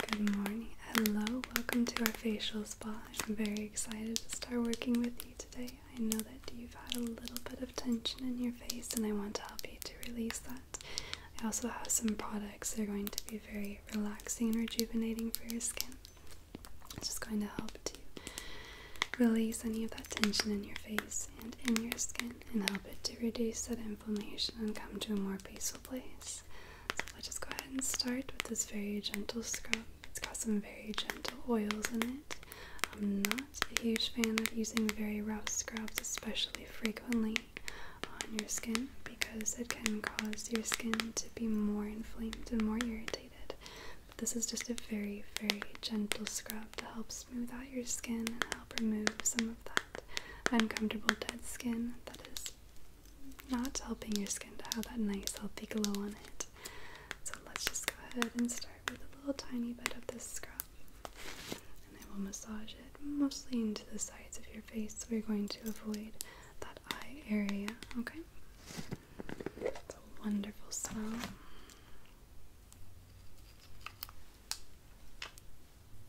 Good morning. Hello. Welcome to our facial spa. I'm very excited to start working with you today. I know that you've had a little bit of tension in your face, and I want to help you to release that. I also have some products that are going to be very relaxing and rejuvenating for your skin. It's just going to help to release any of that tension in your face and in your skin and help it to reduce that inflammation and come to a more peaceful place. So I'll just go ahead and start with this very gentle scrub. It's got some very gentle oils in it. I'm not a huge fan of using very rough scrubs, especially frequently on your skin, because it can cause your skin to be more inflamed and more irritated. But this is just a very, very gentle scrub to help smooth out your skin and help remove some of that uncomfortable dead skin that is not helping your skin to have that nice healthy glow on it. So let's just go ahead and start with a little tiny bit of this scrub. And I will massage it mostly into the sides of your face. So we're going to avoid that eye area, okay? It's a wonderful smell.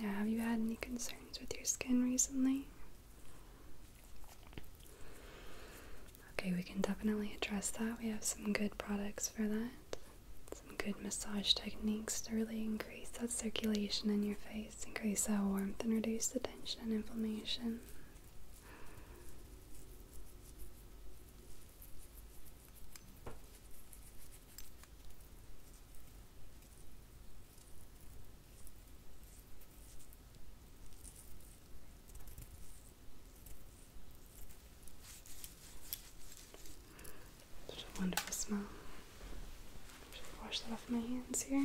Now, have you had any concerns with your skin recently? Okay, we can definitely address that. We have some good products for that. Some good massage techniques to really increase that circulation in your face, increase that warmth, and reduce the tension and inflammation. Such a wonderful smell. Should wash that off my hands here.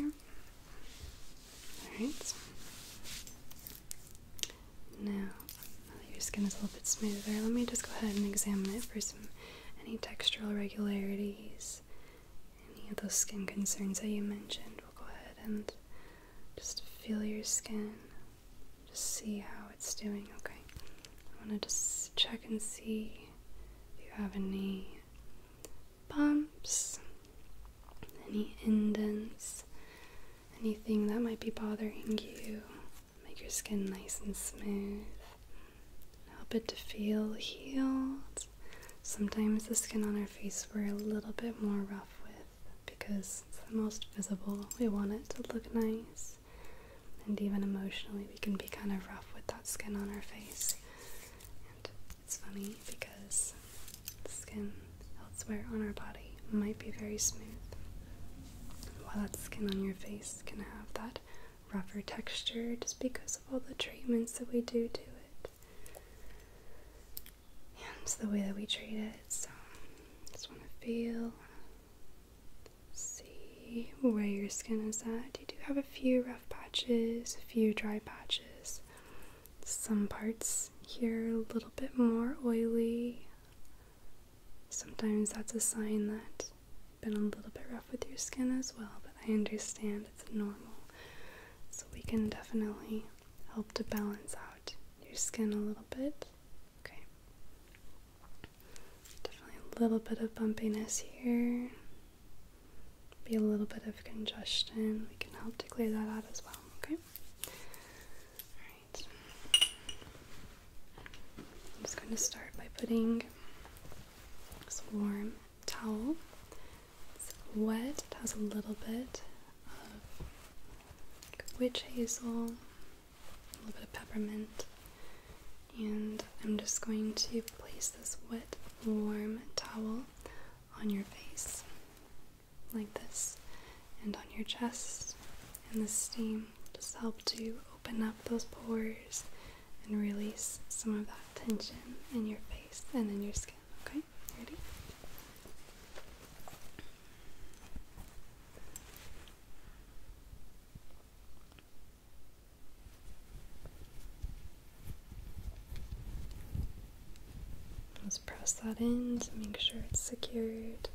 All right. Now, oh, your skin is a little bit smoother. Let me just go ahead and examine it for some any textural irregularities, any of those skin concerns that you mentioned. We'll go ahead and just feel your skin, just see how it's doing. Okay, I want to just check and see if you have any bumps, any indents, anything that might be bothering you. Make your skin nice and smooth. Help it to feel healed. Sometimes the skin on our face we're a little bit more rough with because it's the most visible. We want it to look nice. And even emotionally, we can be kind of rough with that skin on our face. And it's funny because skin elsewhere on our body might be very smooth, while that skin on your face can have that rougher texture just because of all the treatments that we do to it and the way that we treat it. So, just want to feel, see where your skin is at. You do have a few rough patches, a few dry patches. Some parts here a little bit more oily. Sometimes that's a sign that you've been a little bit rough with your skin as well, but I understand it's normal. So we can definitely help to balance out your skin a little bit. Okay. Definitely a little bit of bumpiness here. Be a little bit of congestion. We can help to clear that out as well, okay? I'm just going to start by putting this warm towel. It's wet, it has a little bit of witch hazel, a little bit of peppermint, and I'm just going to place this wet, warm towel on your face like this, and on your chest. And the steam just helps to open up those pores and release some of that tension in your face and in your skin. Okay, ready? Let's press that in to make sure it's secured.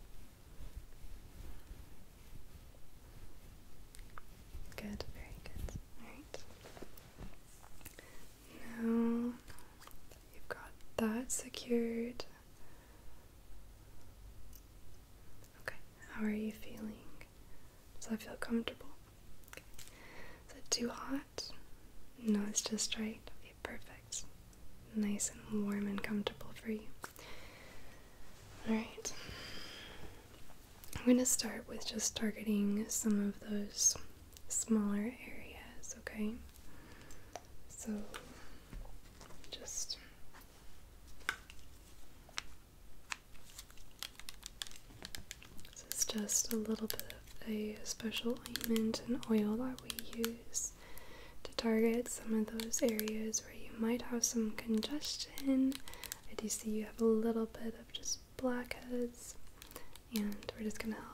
Good, very good. Alright. Now you've got that secured. Okay, how are you feeling? Does that feel comfortable? Is it too hot? No, it's just right. perfect. Nice and warm and comfortable for you. Alright. I'm going to start with just targeting some of those smaller areas, okay? So, just. This just a little bit a special ointment and oil that we use to target some of those areas where you might have some congestion. I do see you have a little bit of just blackheads, and we're just gonna help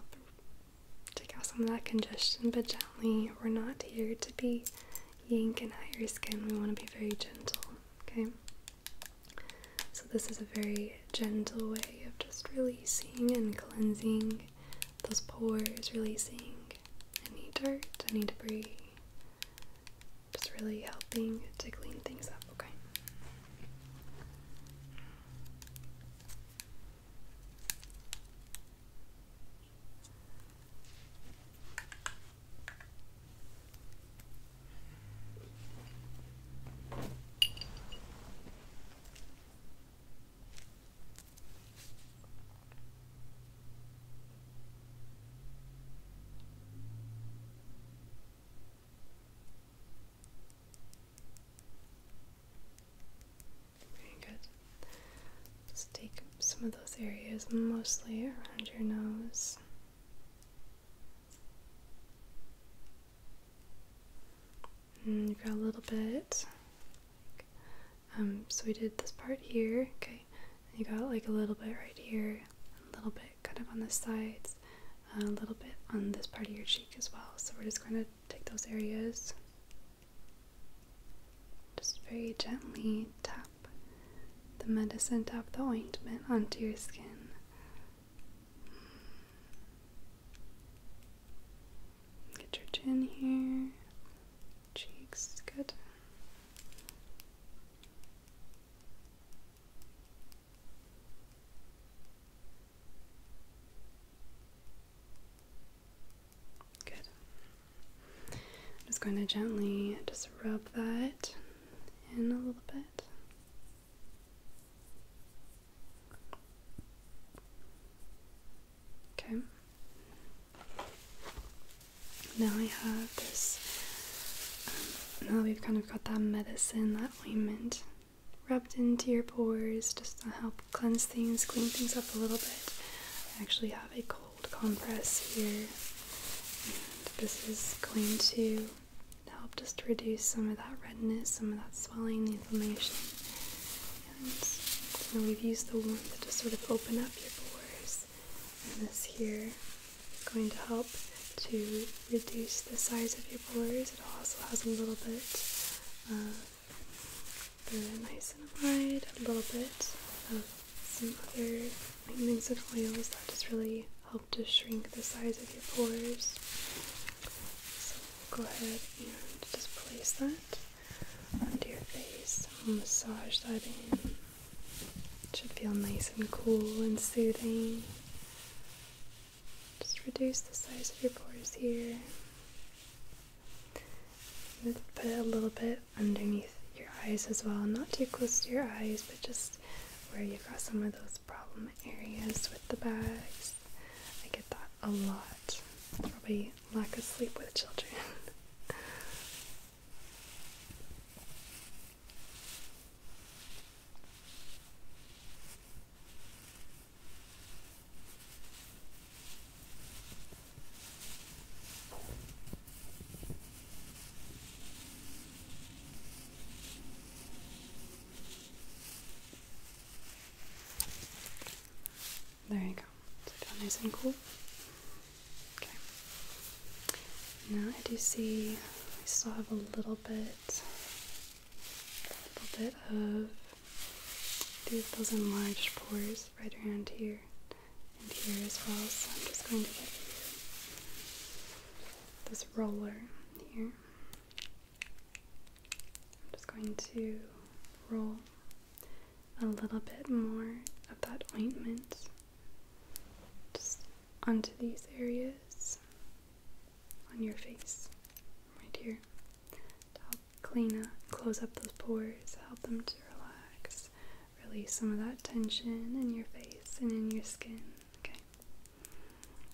take out some of that congestion, but gently. We're not here to be yanking at your skin, we want to be very gentle, okay? So, this is a very gentle way of just releasing and cleansing those pores, releasing any dirt, any debris. Just really helping to clean things up, Okay, very good. Just take some of those areas, mostly around your nose. Mm, you've got a little bit. Um, so we did this part here, okay. you got like a little bit right here, a little bit kind of on the sides, a little bit on this part of your cheek as well. So we're just going to take those areas, just very gently tap the medicine, tap the ointment onto your skin. Get your chin here, cheeks, good. Good. I'm just going to gently just rub that in a little bit. Okay. Now I have this. Um, now we've kind of got that medicine, that ointment rubbed into your pores just to help cleanse things, clean things up a little bit. I actually have a cold compress here, and this is going to help just reduce some of that redness, some of that swelling, the inflammation. And we've used the warmth to sort of open up your pores. And this here is going to help to reduce the size of your pores. It also has a little bit of um, the niacinamide, a little bit of some other ointments of oils that just really help to shrink the size of your pores. Go ahead and just place that under your face. massage that in. It should feel nice and cool and soothing. Just reduce the size of your pores here. Put a little bit underneath your eyes as well. Not too close to your eyes, but just where you've got some of those problem areas with the bags. I get that a lot. Probably lack of sleep with children. There you go. So down nice and cool. Okay. Now I do see I still have a little bit, a little bit of those enlarged pores right around here and here as well. So I'm just going to get this roller here. I'm just going to roll a little bit more of that ointment onto these areas on your face right here to help clean up, close up those pores, help them to relax, release some of that tension in your face and in your skin. Okay.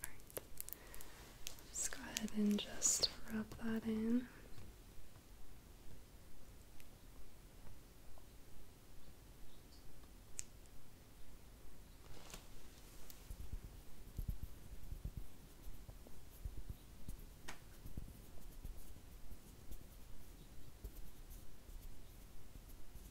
Alright. Let's go ahead and just rub that in.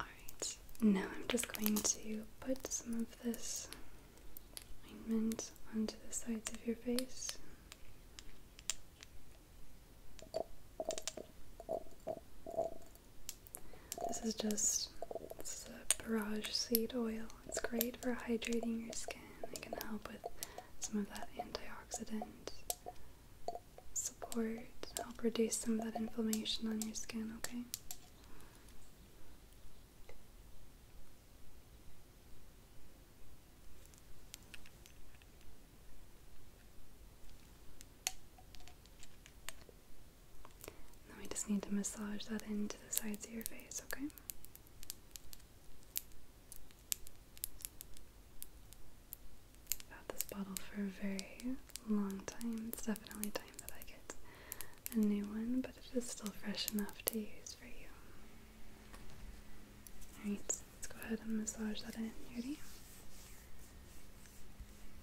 Alright, now I'm just going to put some of this ointment onto the sides of your face. This is just this is a barrage seed oil. It's great for hydrating your skin. It can help with some of that antioxidant support, help reduce some of that inflammation on your skin, okay? Now we just need to massage that into the sides of your face, okay? I've had this bottle for a very long time. It's definitely time that I get a new one, but it is still fresh enough to use for you. Alright, let's go ahead and massage that in. You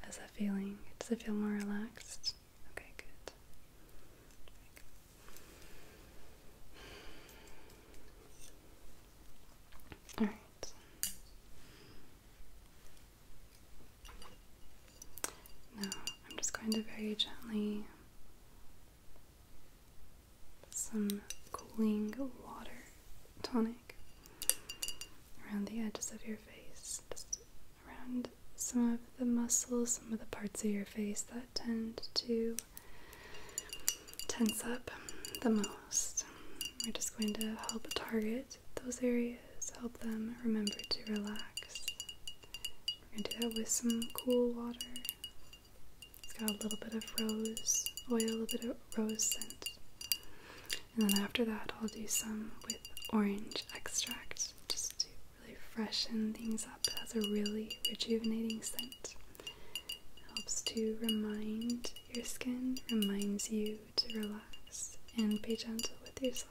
How's that feeling? Does it feel more relaxed? Okay, good. Alright. Now, I'm just going to very gently some cooling water tonic around the edges of your face, around some of the muscles, some of the parts of your face that tend to tense up the most. We're just going to help target those areas, help them remember to relax. We're going to do that with some cool water. It's got a little bit of rose oil, a little bit of rose scent. And then after that, I'll do some with orange extract just to really freshen things up. It has a really rejuvenating scent. helps to remind your skin, reminds you to relax and be gentle with yourself.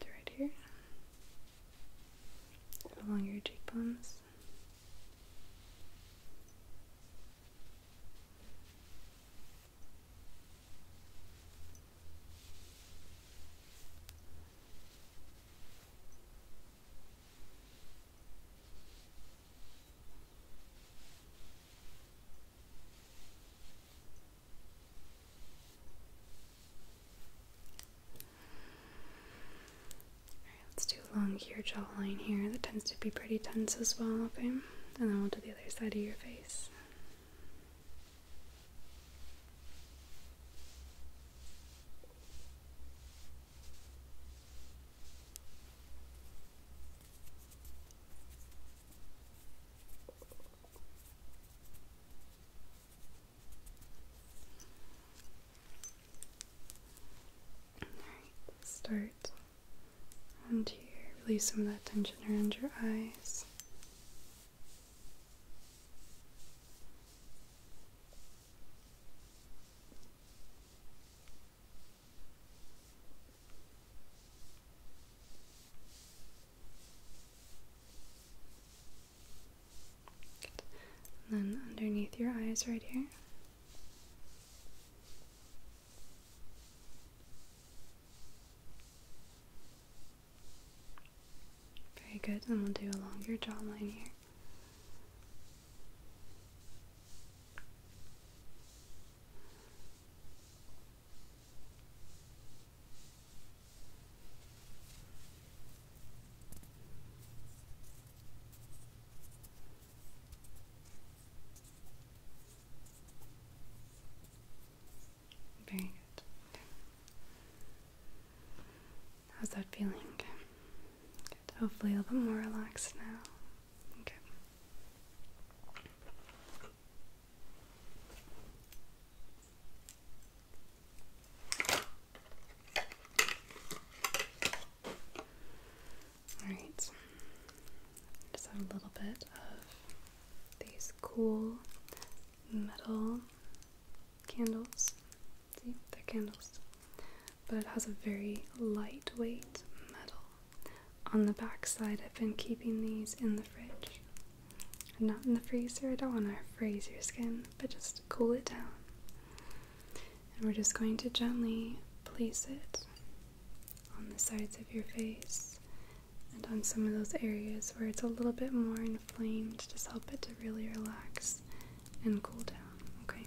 And right here, along your cheekbones let's do along your jawline here. That tends to be pretty tense as well, okay? And then we'll do the other side of your face. All right, start around here. Release some of that tension around your eyes then underneath your eyes, right here. Very good, and we'll do along your jawline here. Very good. How's that feeling? Hopefully, a little bit more relaxed now. Okay. All right, just add a little bit of these cool metal candles. See, they're candles, but it has a very lightweight metal on the backside, I've been keeping these in the fridge. Not in the freezer, I don't want to freeze your skin, but just cool it down. And we're just going to gently place it on the sides of your face and on some of those areas where it's a little bit more inflamed, just help it to really relax and cool down, okay?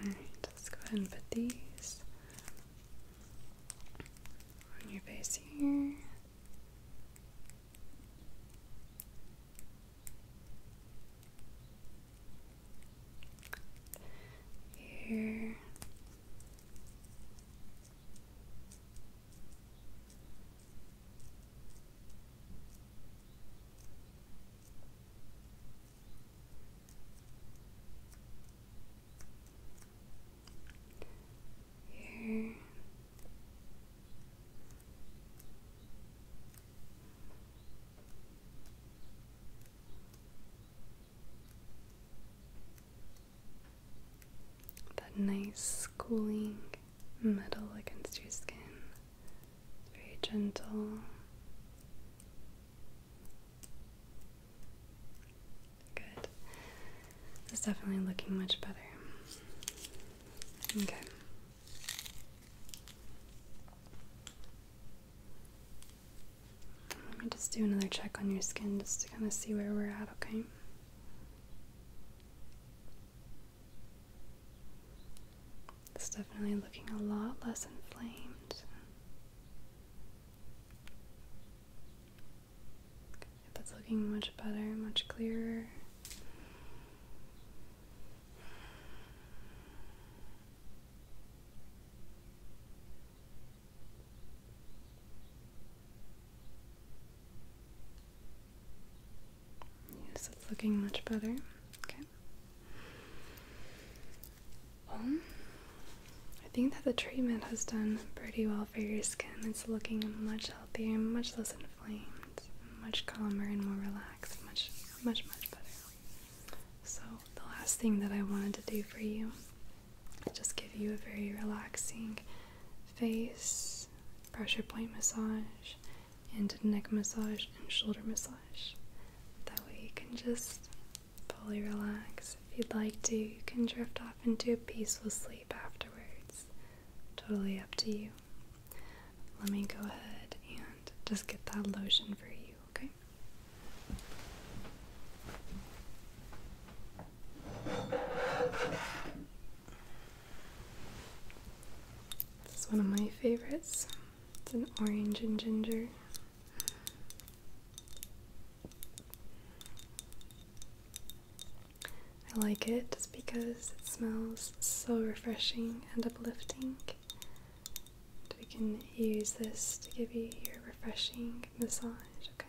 Alright, let's go ahead and put these on your face here. Here. That nice cooling metal against your skin very gentle. Good. It's definitely looking much better. Okay. Let me just do another check on your skin just to kind of see where we're at, okay? It's definitely looking a lot less inflamed. That's looking much better, much clearer. Yes, it's looking much better. Okay. Um, I think that the treatment has done pretty well for your skin. It's looking much healthier, much less inflamed, much calmer and more relaxed, much, much, much better. So, the last thing that I wanted to do for you just give you a very relaxing face pressure point massage and neck massage and shoulder massage. That way you can just fully relax. If you'd like to, you can drift off into a peaceful sleep afterwards. Totally up to you. Let me go ahead and just get that lotion for you, okay? This is one of my favorites. It's an orange and ginger. I like it just because it smells so refreshing and uplifting. we can use this to give you your refreshing massage, okay?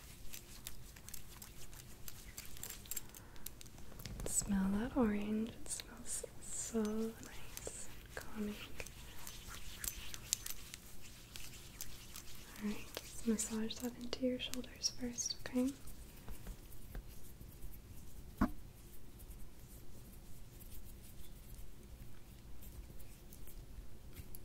Smell that orange, it smells so nice and calming. Alright, massage that into your shoulders first, okay?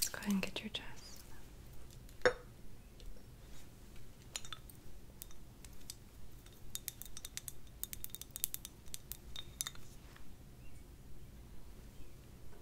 Let's go ahead and get your chest.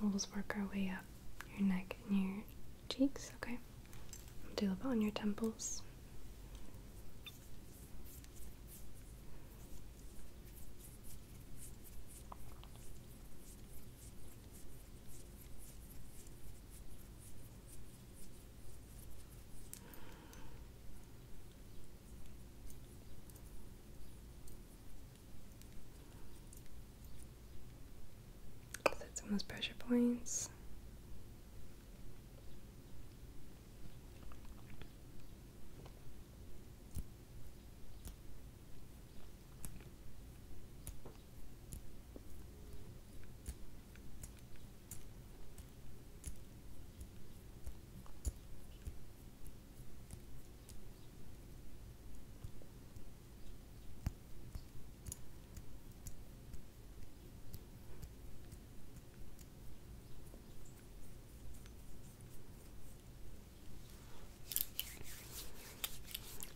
We'll just work our way up your neck and your cheeks, okay? We'll do a on your temples. So of those pressure points.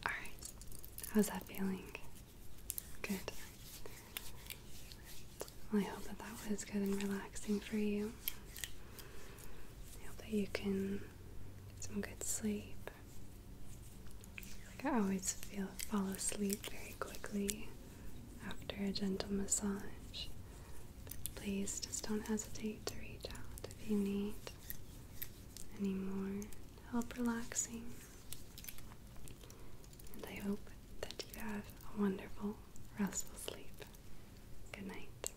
All right, how's that feeling? Good. I hope that that was good and relaxing for you. I hope that you can get some good sleep. Like I always feel fall asleep very quickly after a gentle massage. please just don't hesitate to reach out if you need any more help relaxing. And I hope that you have a wonderful, restful sleep. Good night.